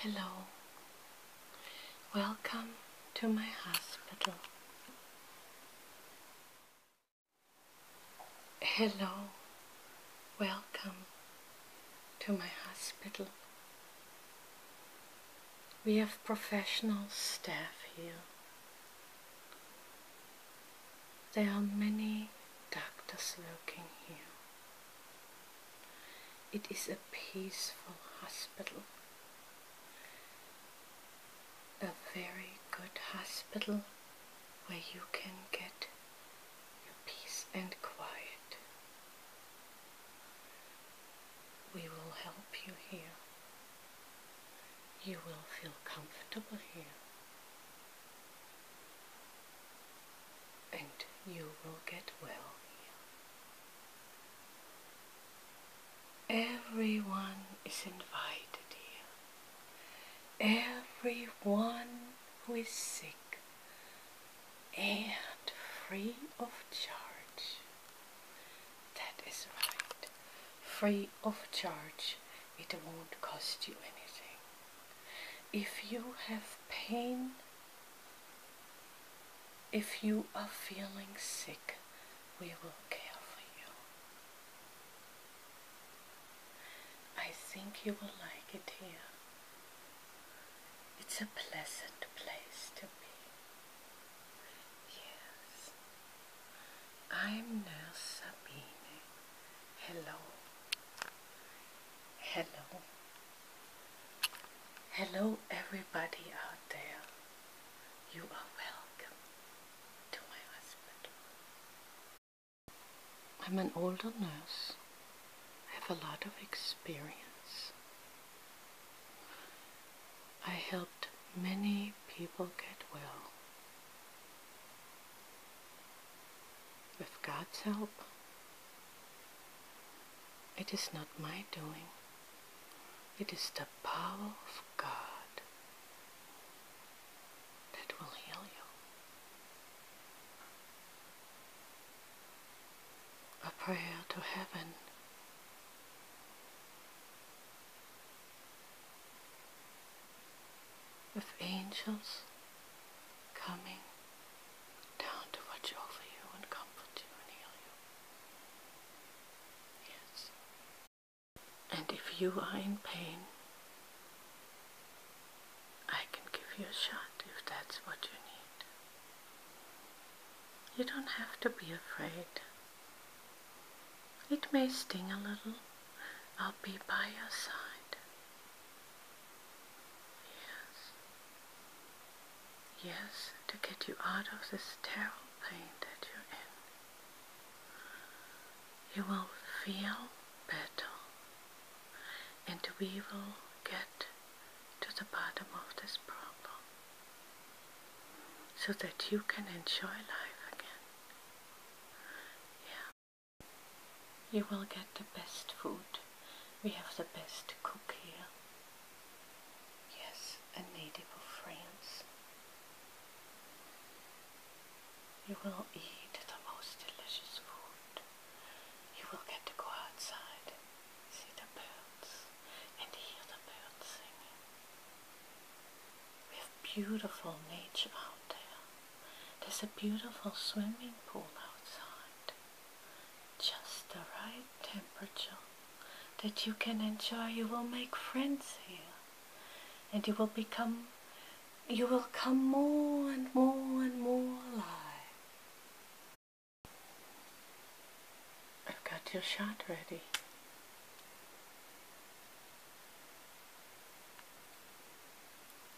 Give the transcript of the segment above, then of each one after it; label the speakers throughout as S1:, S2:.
S1: Hello, welcome to my hospital. Hello, welcome to my hospital. We have professional staff here. There are many doctors working here. It is a peaceful hospital. A very good hospital where you can get peace and quiet. We will help you here. You will feel comfortable here and you will get well here. Everyone is invited here. Everyone who is sick and free of charge. That is right. Free of charge. It won't cost you anything. If you have pain if you are feeling sick, we will care for you. I think you will like it here. It's a pleasant place to be. Yes. I'm Nurse Sabine. Hello. Hello. Hello, everybody out there. You are welcome to my hospital. I'm an older nurse. I have a lot of experience. I helped many people get well. With God's help, it is not my doing. It is the power of God that will heal you. A prayer to heaven. With angels coming down to watch over you and comfort you and heal you. Yes. And if you are in pain, I can give you a shot if that's what you need. You don't have to be afraid. It may sting a little. I'll be by your side. Yes. Yes, to get you out of this terrible pain that you're in. You will feel better and we will get to the bottom of this problem so that you can enjoy life again. Yeah. You will get the best food we have the best cook here. Yes, a native of France. You will eat the most delicious food. You will get to go outside, see the birds, and hear the birds singing. We have beautiful nature out there. There's a beautiful swimming pool outside just the right temperature that you can enjoy. You will make friends here and you will become, you will come more and more and more alive. I've got your shot ready.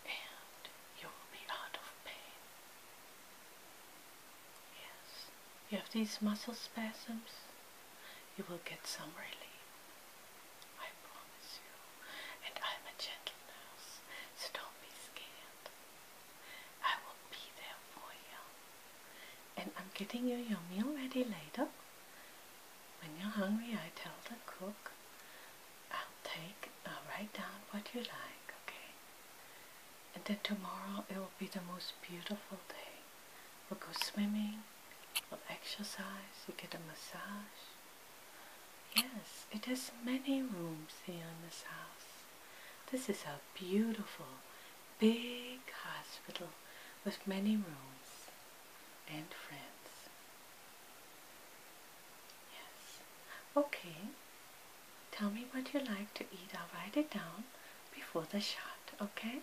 S1: And you will be out of pain. Yes, you have these muscle spasms, you will get some relief. I promise you. And I'm a gentle nurse, so don't be scared. I will be there for you. And I'm getting you your meal ready later. When you're hungry, I tell the cook I'll take, I'll write down what you like, okay? And then tomorrow it will be the most beautiful day. We'll go swimming, we'll exercise, you get a massage. Yes, it has many rooms here in this house. This is a beautiful, big hospital with many rooms and friends. Yes. Okay. Tell me what you like to eat. I'll write it down before the shot, okay?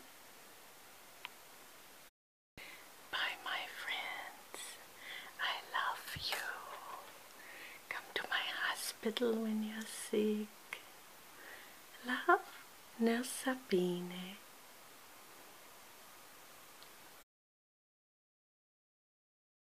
S1: Bye, my friends. I love you. Come to my hospital when you're sick. Love, Nurse Sabine.